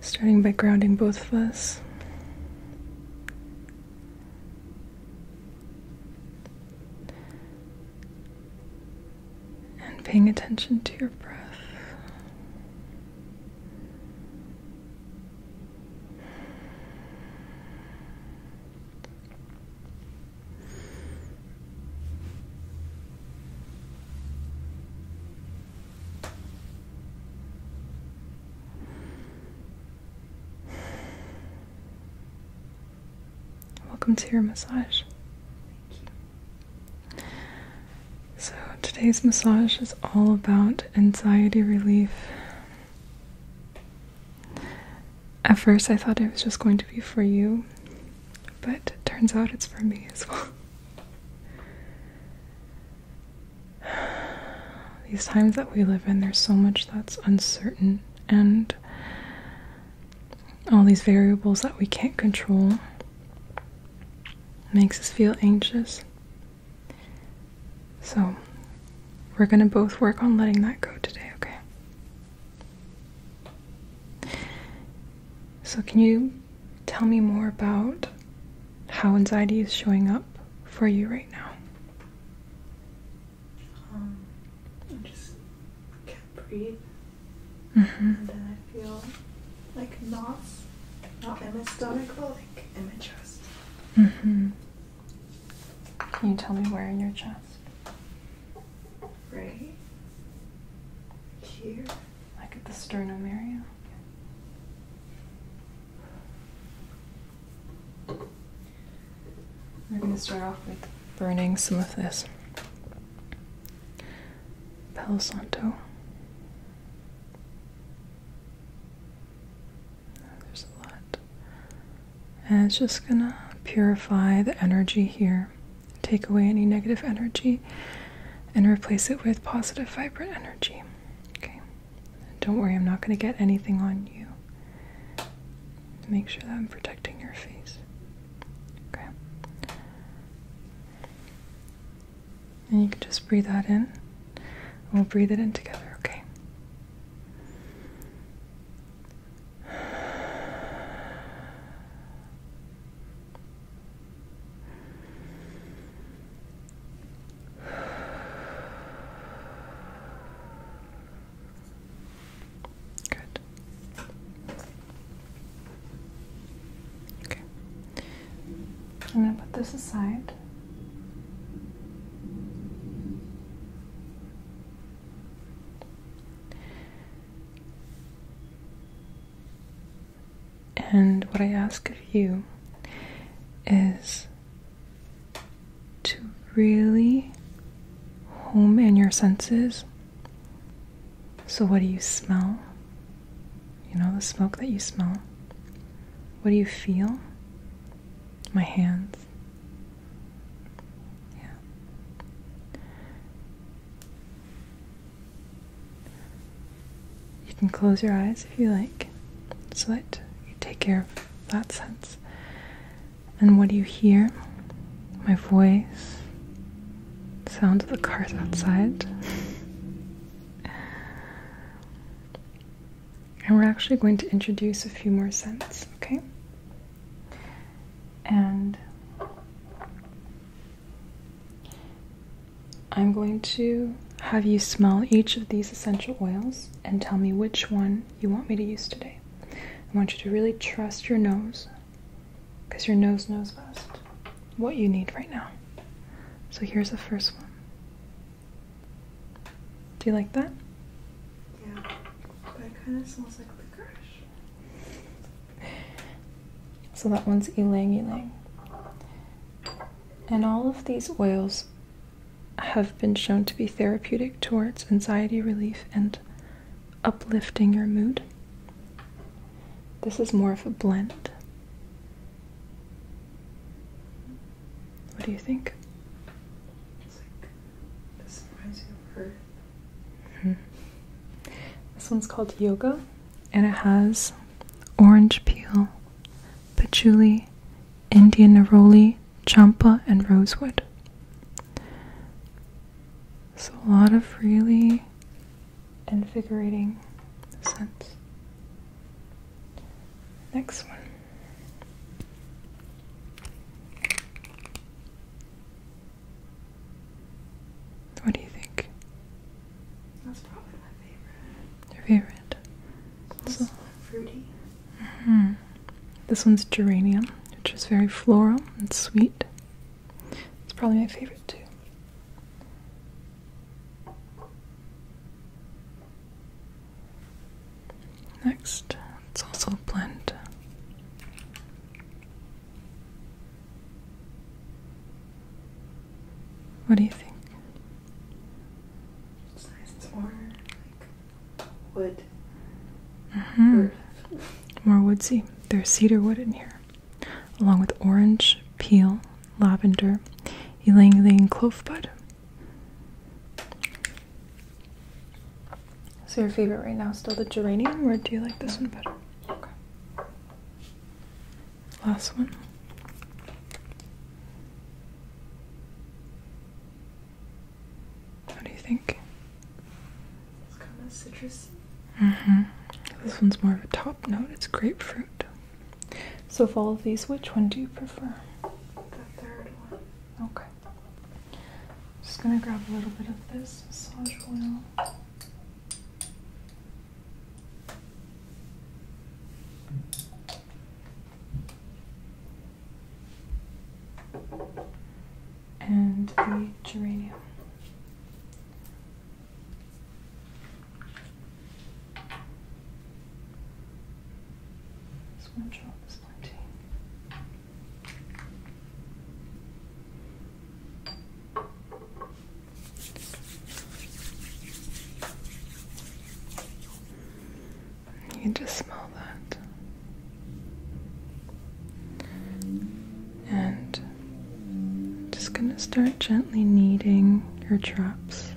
Starting by grounding both of us. And paying attention to your breath. Welcome to your massage. Thank you. So, today's massage is all about anxiety relief. At first, I thought it was just going to be for you, but it turns out it's for me as well. these times that we live in, there's so much that's uncertain and all these variables that we can't control makes us feel anxious. So, we're going to both work on letting that go today, okay? So, can you tell me more about how anxiety is showing up for you right now. Um, I just can't breathe. Mm-hmm. And then I feel like knots, not in my stomach, but like in my chest. Mm-hmm. Can you tell me where in your chest? Right here like at the sternum area. We're going to start off with burning some of this Palo There's a lot. And it's just going to purify the energy here, take away any negative energy, and replace it with positive, vibrant energy. Okay. Don't worry, I'm not going to get anything on you. Make sure that I'm protecting your face. Okay. And you can just breathe that in. And we'll breathe it in together, okay? Good. Okay. I'm going to put this aside. And what I ask of you is to really home in your senses. So, what do you smell? You know, the smoke that you smell. What do you feel? My hands. Yeah. You can close your eyes if you like so let you take care of that sense. And what do you hear? My voice, sound of the cars outside. and we're actually going to introduce a few more scents, okay? And I'm going to have you smell each of these essential oils and tell me which one you want me to use today. I want you to really trust your nose because your nose knows best what you need right now. So here's the first one. Do you like that? Yeah, but it kind of smells like licorice. So that one's ylang ylang. And all of these oils have been shown to be therapeutic towards anxiety relief and uplifting your mood. This is more of a blend. What do you think? Hmm. This one's called Yoga and it has orange peel, patchouli, Indian neroli, champa, and rosewood. So, a lot of really invigorating scents. Next one. What do you think? That's probably my favorite. Your favorite? It's so. fruity. Mm-hmm. This one's geranium, which is very floral and sweet. It's probably my favorite too. Next, it's also a blend. What do you think? It's nice. It's more like wood. Mm-hmm. More woodsy. There's cedar wood in here, along with orange, peel, lavender, ylang ylang clove bud. So your favorite right now is still the geranium, or do you like this one better? Okay last one. What do you think? It's kind of citrus. hmm This one's more of a top note. It's grapefruit. So of all of these, which one do you prefer? The third one. Okay. Just gonna grab a little bit of this massage oil and the geranium. Just one drop is plenty. You can just smell that. And just going to start gently kneading your traps.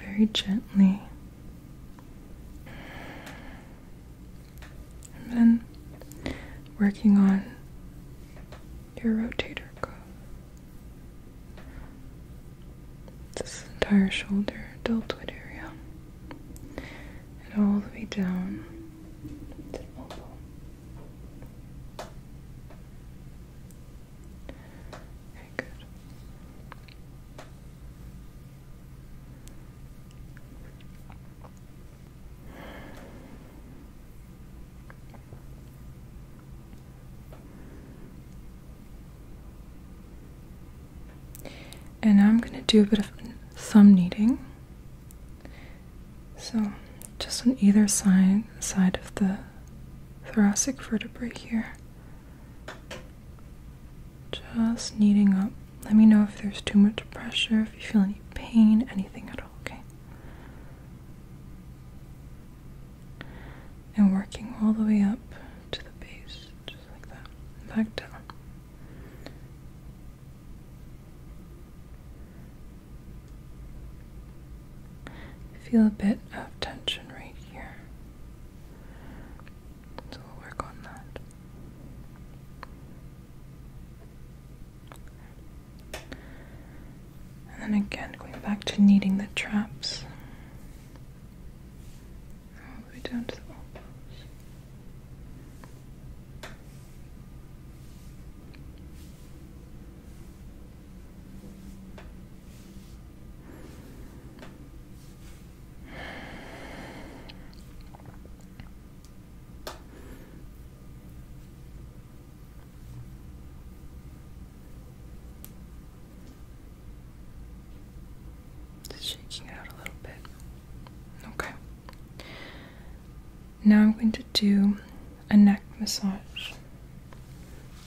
very gently. And then working on your rotator cuff. This entire shoulder, deltoid area, and all the way down Okay, good. And I'm going to do a bit of thumb kneading. So, just on either side side of the thoracic vertebrae here. Just kneading up let me know if there's too much pressure, if you feel any pain, anything at all, okay? And working all the way up to the base, just like that, and back down. Feel a bit of tension right here. So we'll work on that. And then again, going back to kneading the traps. All the way down to the just shaking out a little bit. Okay. Now I'm going to do a neck massage.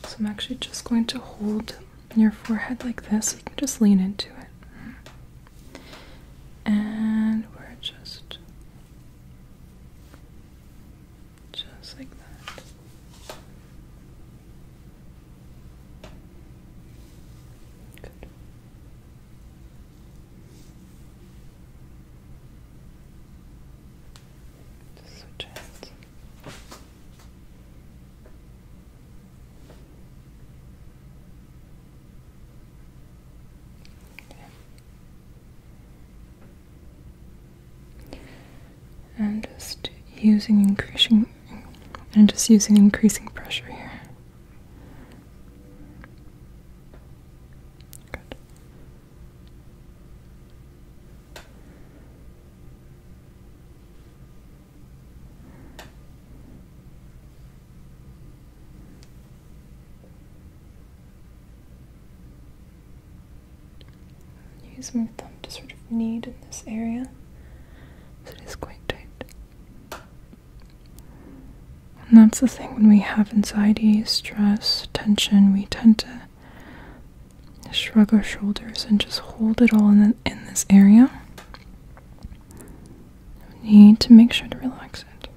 So I'm actually just going to hold your forehead like this. you can just lean into it. And we're just just like that. switch hands. And just using increasing and just using increasing pressure here. Good. Use my thumb to sort of knead in this area. So it is quite tight. And that's the thing when we have anxiety, stress, tension, we tend to shrug our shoulders and just hold it all in, in this area. You need to make sure to relax it.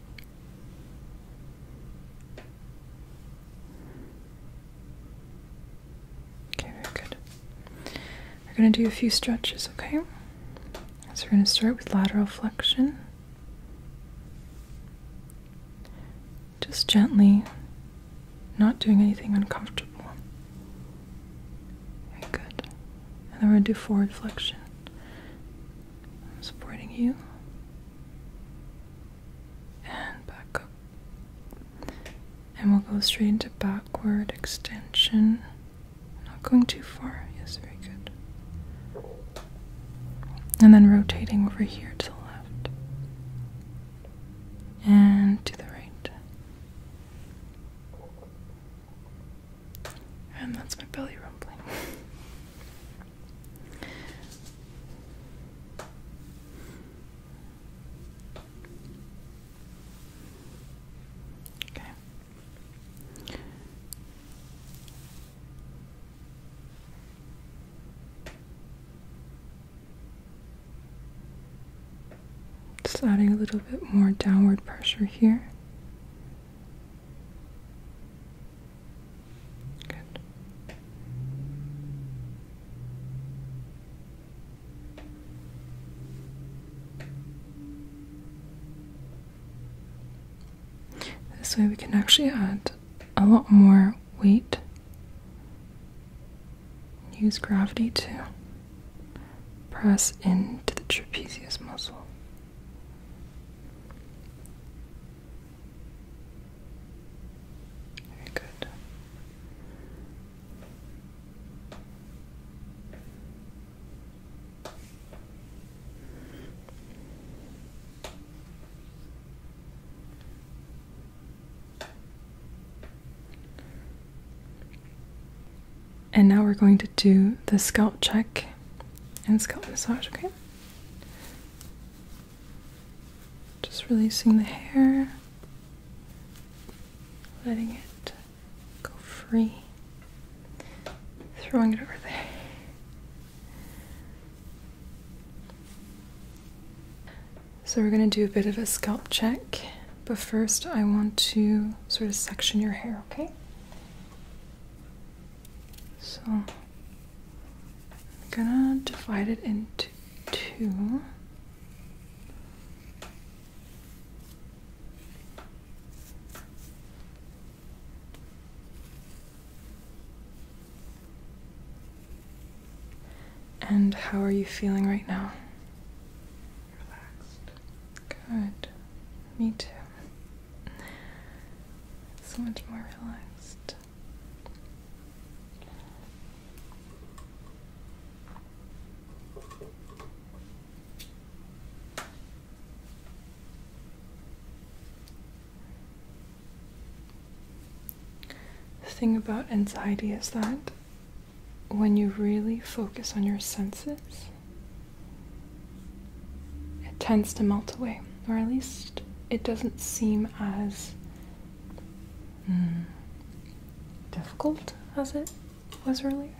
Okay, very good. We're going to do a few stretches, okay? So we're going to start with lateral flexion. Just gently, not doing anything uncomfortable. Very good. And then we're going to do forward flexion. I'm supporting you. And back up. And we'll go straight into backward extension. Not going too far. Yes, very good. And then rotating over here to the left. And to the right. And that's my belly rumbling. okay. Just adding a little bit more downward pressure here. Good. This way we can actually add a lot more weight. Use gravity to Press into the trapezius muscle. Very good. And now we're going to do the scalp check and scalp massage, okay? Just releasing the hair, letting it go free, throwing it over there. So we're going to do a bit of a scalp check. But first, I want to sort of section your hair, okay? So I'm gonna divide it into two. And how are you feeling right now? relaxed. Good. Me too. So much more relaxed. The thing about anxiety is that when you really focus on your senses, it tends to melt away, or at least it doesn't seem as hmm, difficult as it was really.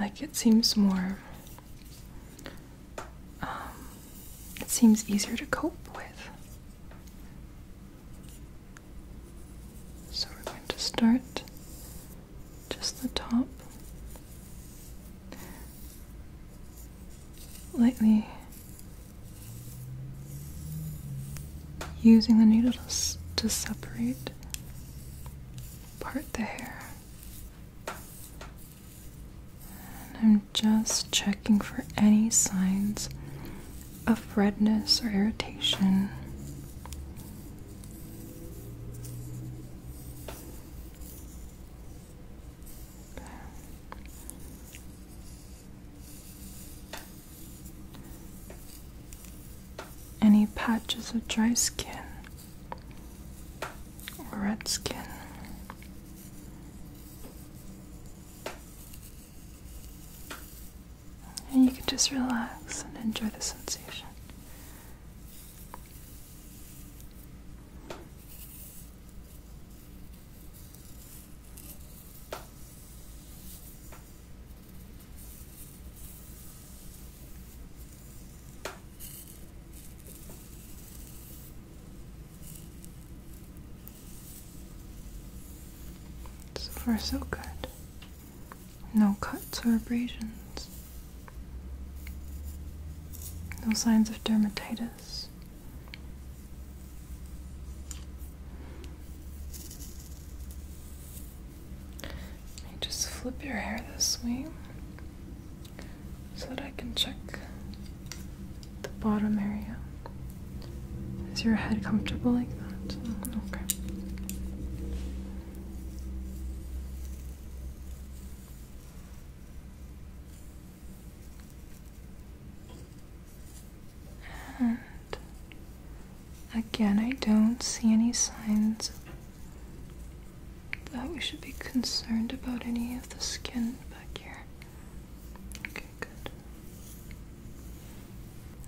Like it seems more, um, it seems easier to cope with. So we're going to start just the top, lightly using the needle to, to separate part the hair. And I'm just checking for any signs of redness or irritation. Any patches of dry skin or red skin. And you can just relax and enjoy the sensation. So far, so good. No cuts or abrasions. No signs of dermatitis. just flip your hair this way so that I can check the bottom area. Is your head comfortable like that? Okay. And again, I don't see any signs that we should be concerned about any of the skin back here. Okay, good.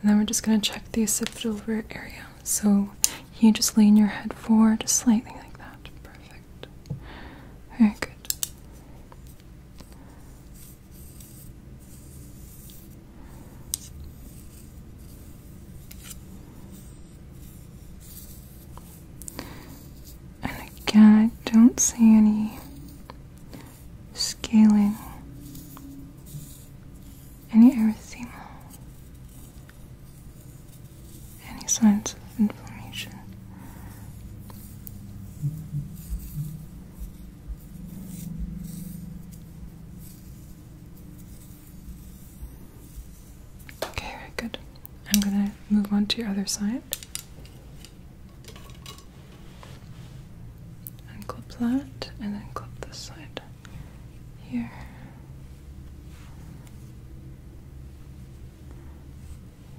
And then we're just going to check the occipital root area. So you just lean your head forward just slightly like that. Perfect. Very good. And again, I don't see any scaling any erythema, any signs of inflammation. Okay, very good. I'm going to move on to your other side and clip that, and then clip this side here.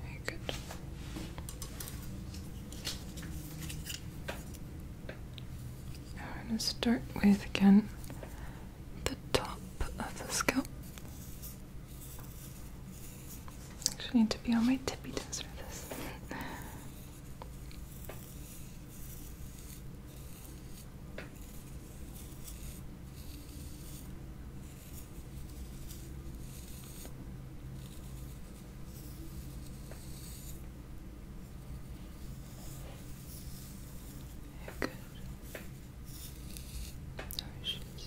Very good. Now we going to start with again the top of the scalp. Actually, I need to be on my tippy toes for this. Good. Sorry,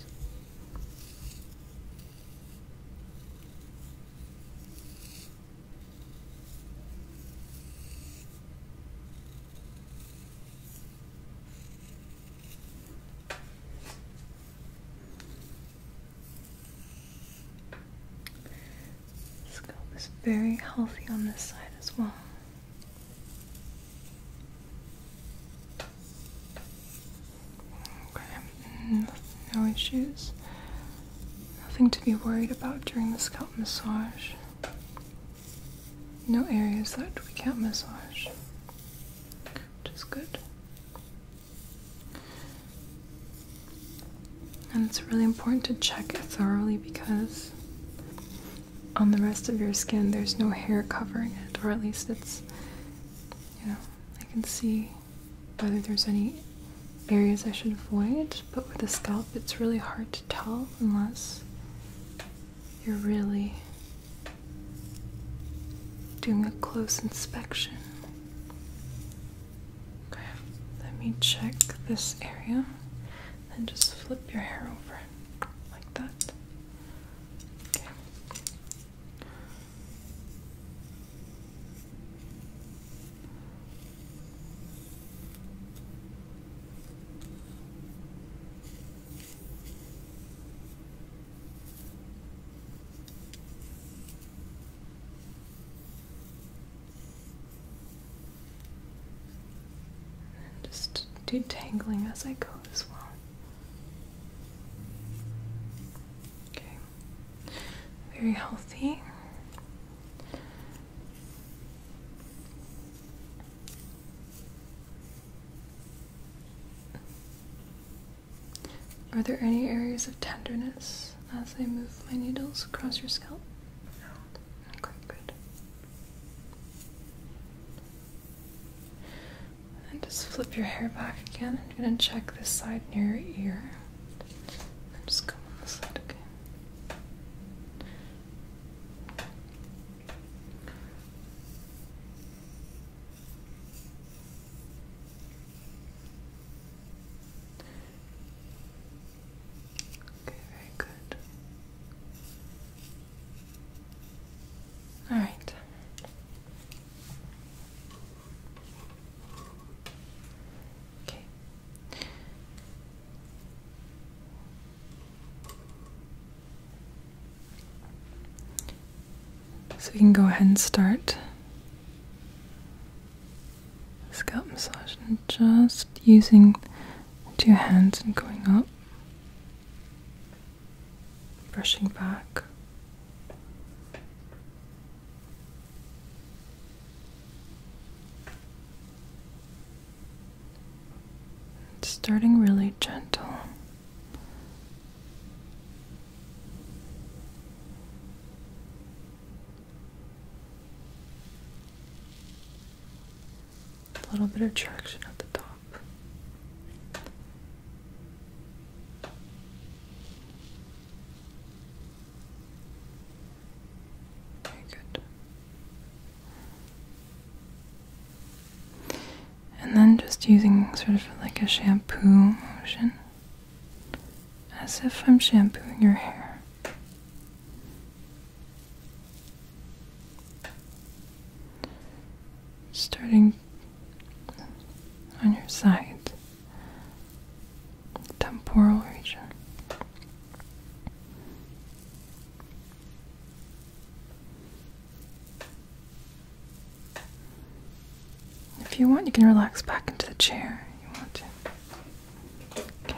Scalp is very healthy on this side as well. Okay, mm, no issues. Nothing to be worried about during the scalp massage. No areas that we can't massage, which is good. And it's really important to check it thoroughly because on the rest of your skin there's no hair covering it, or at least it's, you know, I can see whether there's any areas I should avoid, but with the scalp it's really hard to tell unless you're really doing a close inspection. Okay, let me check this area and just flip your hair over like that. Okay just detangling as I go as well. Okay. Very healthy. Are there any areas of tenderness as I move my needles across your scalp? No. Okay, good. And just flip your hair back again. I'm going to check this side near your ear just going on this side again. Okay, very good. All right. So we can go ahead and start scalp massage just using two hands and going up, brushing back. Starting really gentle. A little bit of traction at the top. Very good. And then just using sort of like a shampoo motion, as if I'm shampooing your hair. Starting on your side, temporal region. If you want, you can relax back into the chair. you want to. Okay.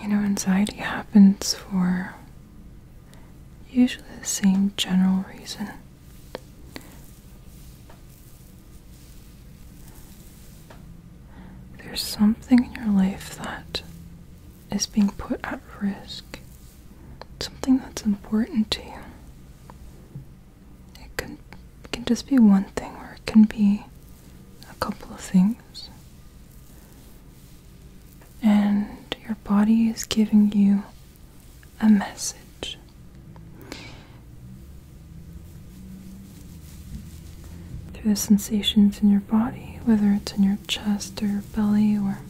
You know, anxiety happens for usually the same general reason. There's something in your life that is being put at risk something that's important to you. It can can just be one thing or it can be a couple of things. And your body is giving you a message. Through the sensations in your body, whether it's in your chest or your belly or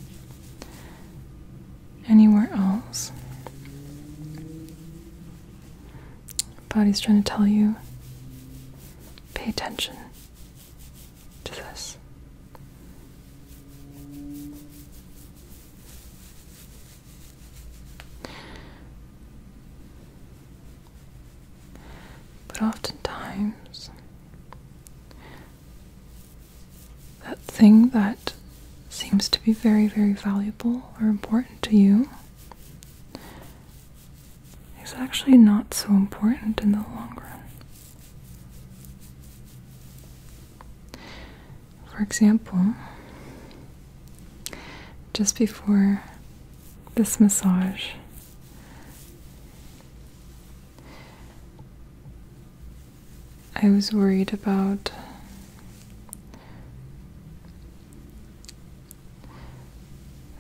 anywhere else. Body's trying to tell you pay attention to this. But oftentimes, that thing that seems to be very, very valuable or important to you is actually not so important in the long run. For example, just before this massage, I was worried about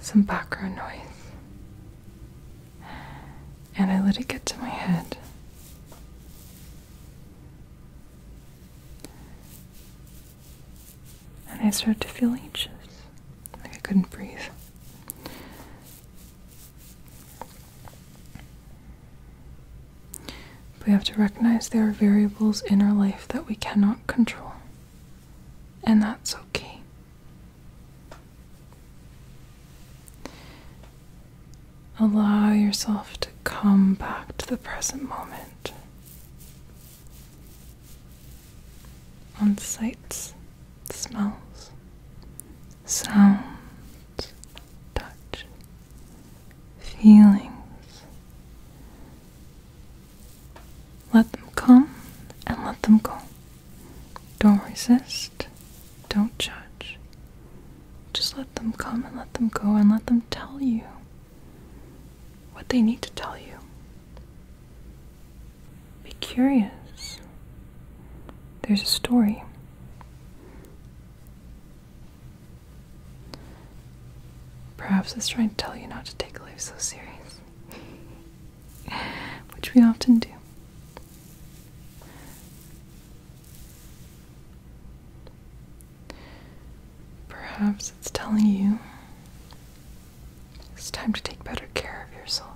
some background noise, and I let it get to my head. And I started to feel anxious, like I couldn't breathe. We have to recognize there are variables in our life that we cannot control, and that's okay. Allow yourself to come back to the present moment on sights, smells, sounds, touch feelings. Let them come and let them go. Don't resist. Don't judge. Just let them come and let them go and let them tell you what they need to tell you. Be curious. There's a story. Perhaps it's trying to tell you not to take life so serious, which we often do. Perhaps it's telling you it's time to take better care of yourself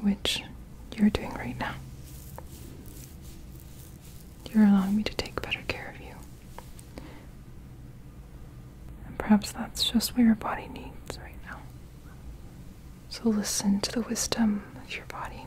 which you're doing right now. You're allowing me to take better care of you. And perhaps that's just what your body needs right now. So listen to the wisdom of your body.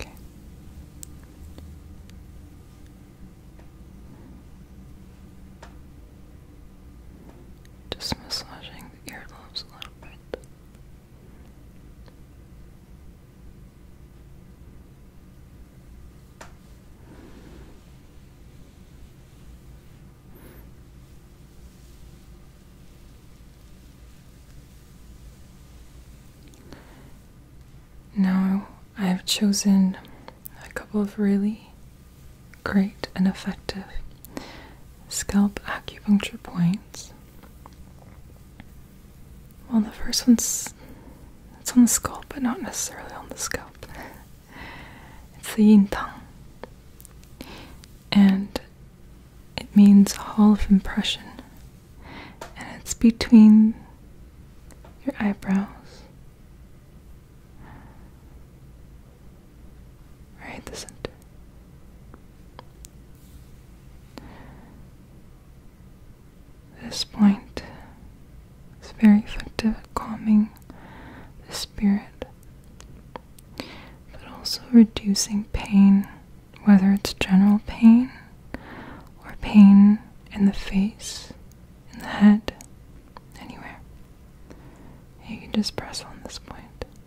Okay. Just massaging the earlobes a little bit. Now I've chosen a couple of really great and effective scalp acupuncture points. Well, the first one's it's on the scalp, but not necessarily on the scalp. it's the Yintang, and it means hall of impression, and it's between your eyebrows right in the center. This point is very effective at calming the spirit, but also reducing pain, whether it's general pain or pain in the face, in the head, anywhere. You can just press on this point.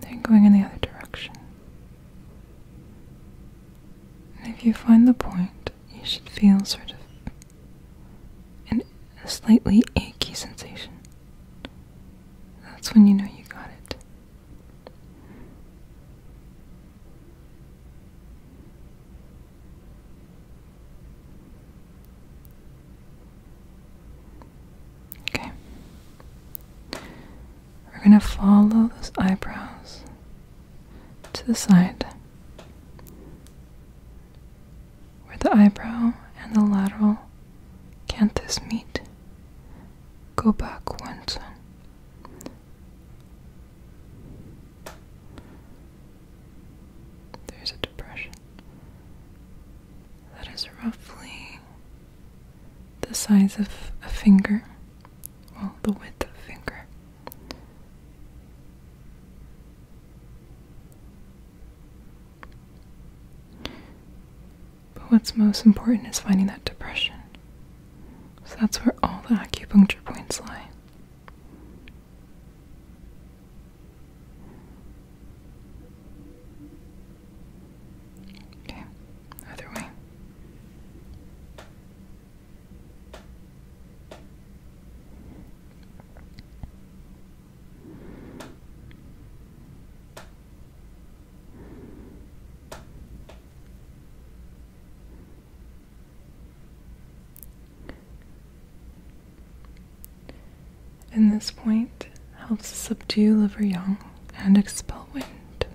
They're going in the other direction. if you find the point, you should feel sort of an, a slightly achy sensation. That's when you know you got it. Okay. We're going to follow those eyebrows to the side where the eyebrow and the lateral canthus meet. Go back one. There's a depression that is roughly the size of a finger, well, the width of a finger. But what's most important is finding that depression. So that's where all the acupuncture points lie. Okay, other way. In this point helps subdue liver yang and expel wind.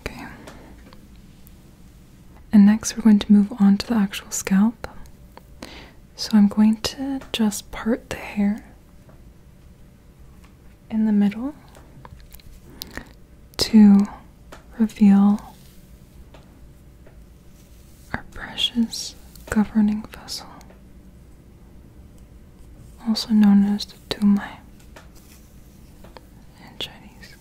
Okay. And next we're going to move on to the actual scalp. So I'm going to just part the hair in the middle to reveal our precious governing vessel, also known as the Dumai in Chinese.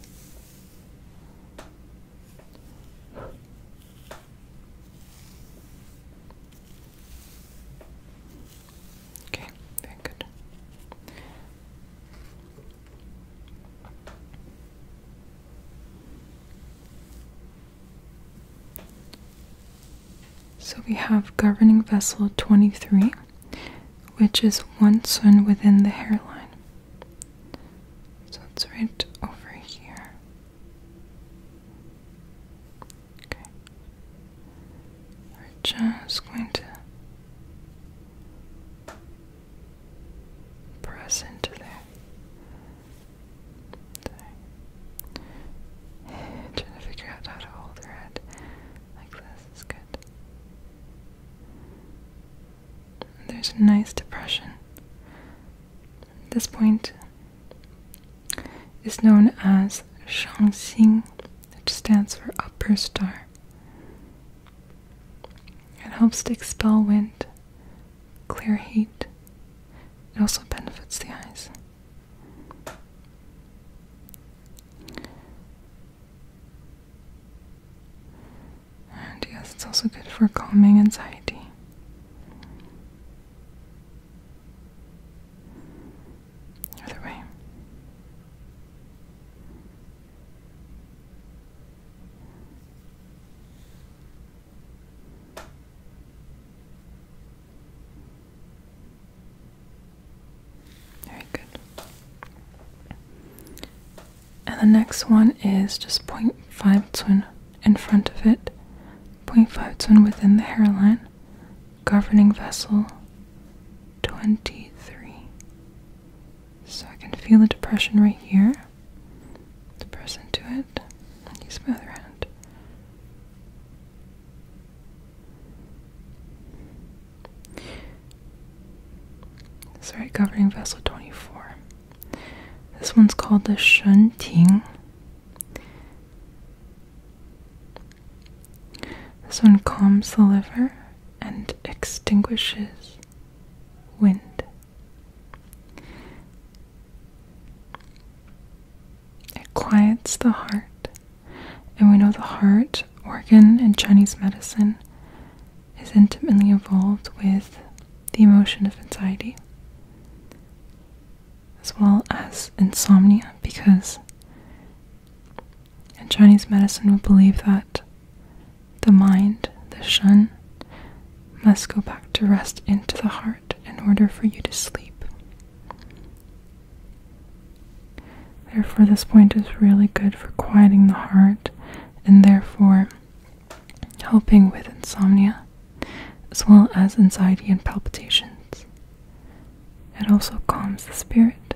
Okay, very good. So we have governing vessel 23, which is one sun within the hairline. So it's right over here. Okay. We're just going to Press into there. trying to figure out how to hold her head like this is good. There's a nice depression. This point is known as Shangxing, which stands for upper star. It helps to expel wind, clear heat. It also benefits the eyes. And yes, it's also good for calming anxiety. Either way. Very good. And the next one is just .52 in front of it, .52 within the hairline, governing vessel 23. So I can feel the depression right here. Press into it. use my other hand. Sorry, governing vessel 24. This one's called the Shun Ting. This one calms the liver and extinguishes wind. It quiets the heart, and we know the heart organ in Chinese medicine is intimately involved with the emotion of anxiety as well as insomnia because and Chinese medicine will believe that the mind, the Shun, must go back to rest into the heart in order for you to sleep. Therefore, this point is really good for quieting the heart and therefore helping with insomnia as well as anxiety and palpitations. It also calms the spirit.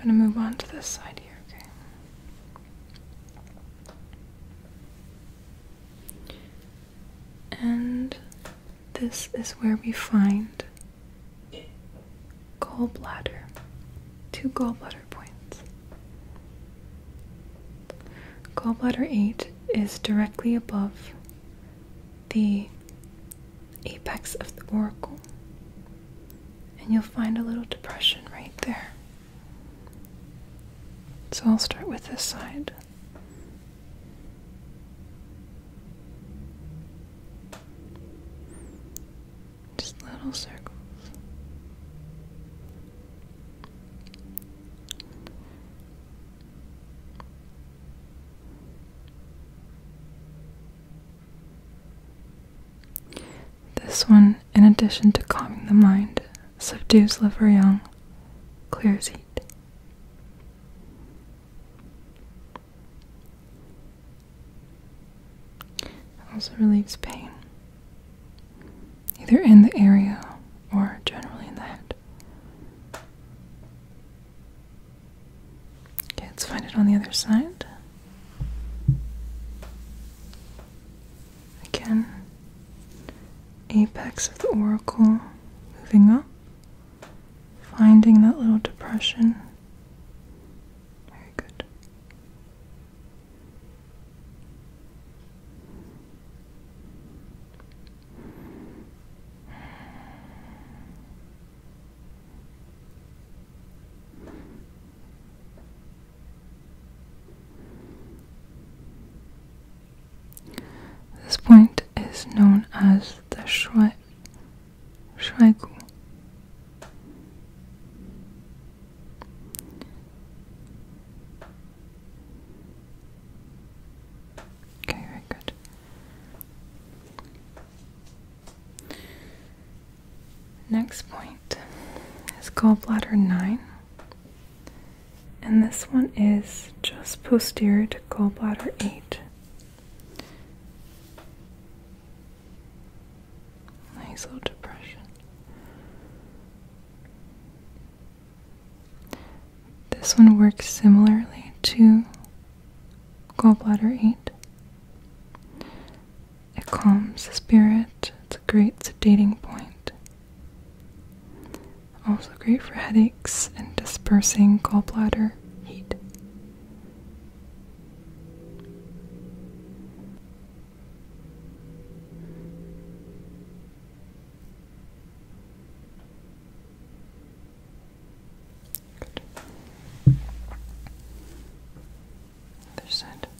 I'm going to move on to this side here, okay? And this is where we find gallbladder. Two gallbladders gallbladder points. Gallbladder 8 is directly above the apex of the oracle, and you'll find a little depression right there. So I'll start with this side. Just little circles. This one, in addition to calming the mind, subdues liver yang, clears heat. Also relieves pain either in the area or generally in the head. Okay, let's find it on the other side. Again, apex of the oracle moving up, finding that little depression. Very good. This point is known as the Schweigu. Okay, very good. Next point is gallbladder 9. And this one is just posterior to gallbladder 8. Nice little depression. This one works similarly to gallbladder 8. It calms the spirit, it's a great sedating point. Also great for headaches and dispersing gallbladder heat. Good. Other side. Good.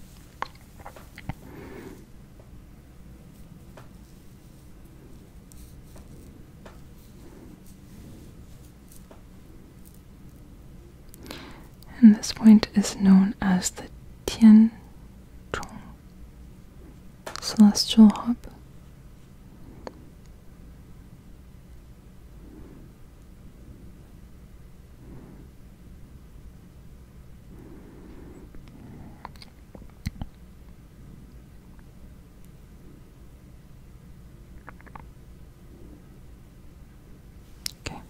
And this point is known as the Tian Celestial Hub. Okay.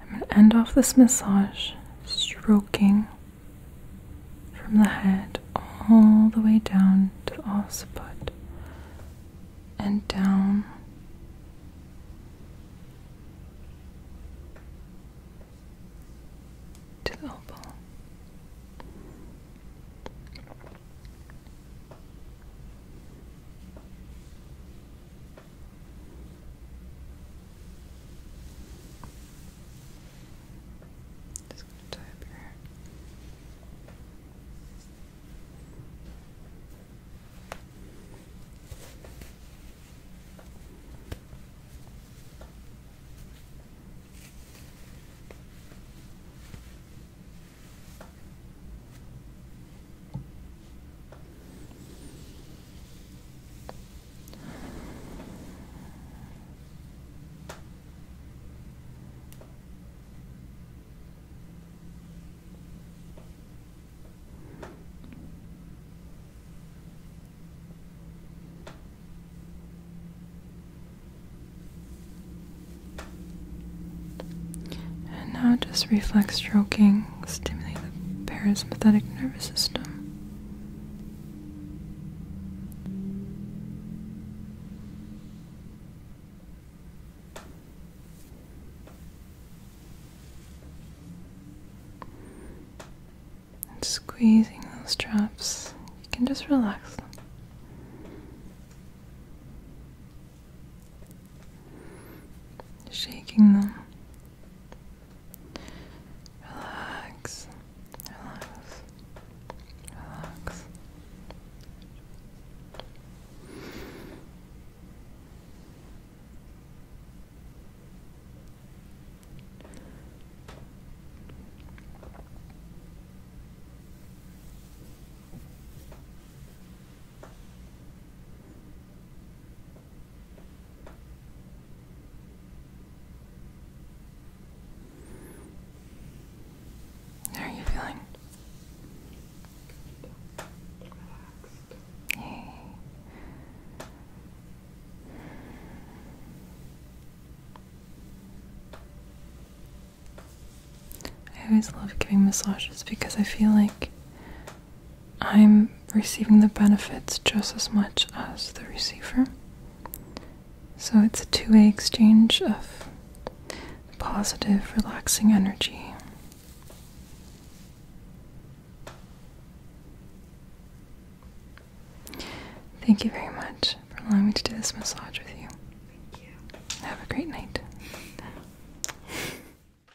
I'm going to end off this massage stroking from the head all the way down to the occiput and down. To the elbow. Just gonna your hair. And now just reflex stroking stimulate the parasympathetic nervous system. And squeezing those drops, you can just relax shaking them. Relax, relax, relax. How are you feeling? I always love giving massages because I feel like I'm receiving the benefits just as much as the receiver. So it's a two way exchange of positive, relaxing energy. Thank you very much for allowing me to do this massage with you. Have a great night.